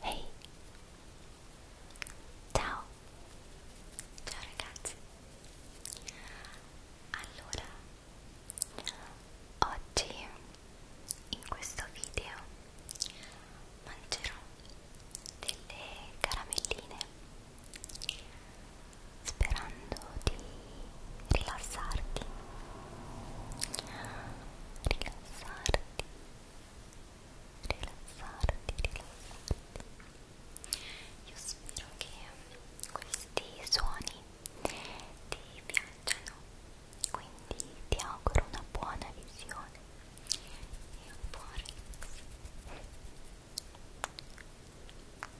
Hey. Ciao! Ciao ragazzi! Allora, oggi in questo video mangerò delle caramelline sperando di rilassarti rilassarti rilassarti rilassarti io spero che questi suoni ti piacciono quindi ti auguro una buona visione e un buon relax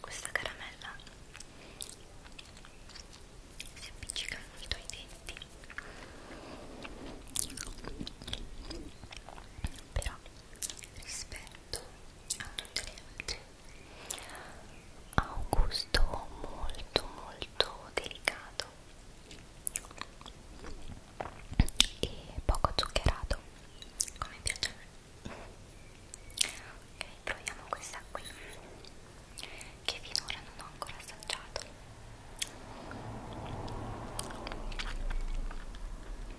Questa caramella si appiccica molto ai denti però rispetto a tutte le altre ha un gusto molto molto delicato e poco zuccherato come piace a me ok proviamo questa qui che finora non ho ancora assaggiato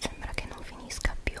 Sembra che non finisca più.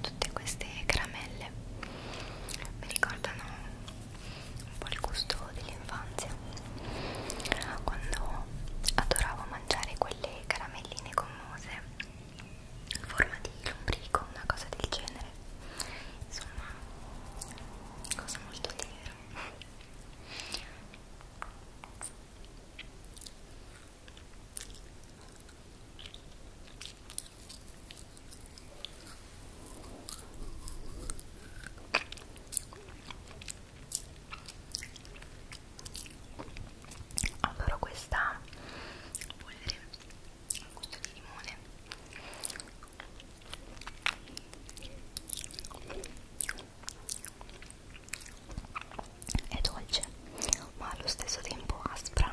Tutte queste caramelle mi ricordano un po' il gusto dell'infanzia quando adoravo mangiare quelle caramelline gommose in forma di lombrico, una cosa del genere insomma cosa molto libera Adoro questa polvere al gusto di limone è dolce ma allo stesso tempo aspra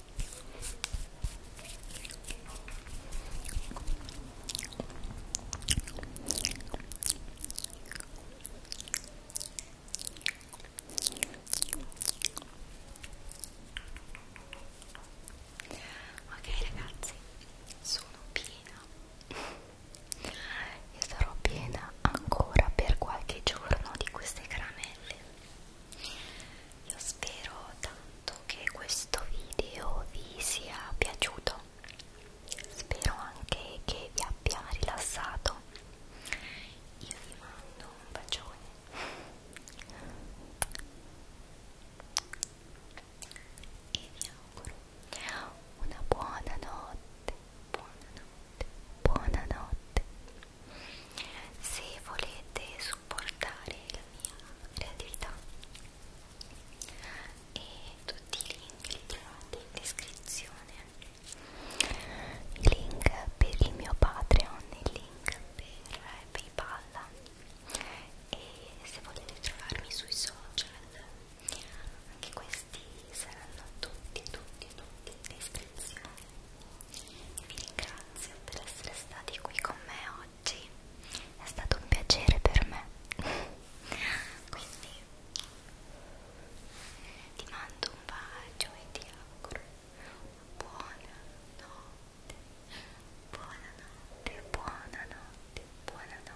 Ok ragazzi, sono piena. Io sarò piena ancora per qualche giorno di queste caramelle io spero tanto che questo video vi sia piaciuto, spero anche che vi abbia rilassato. Io vi mando un bacione. E vi auguro una buona notte, buona notte, buona notte se volete supportare la mia creatività e tutti i link li trovate in descrizione il link per il mio Patreon il link per Paypal e se volete trovarmi sui social anche questi saranno tutti tutti tutti in descrizione vi ringrazio per essere stati qui con me oggi è stato un piacere per me quindi ti mando un bacio e ti auguro buonanotte buonanotte buonanotte buonanotte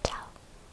ciao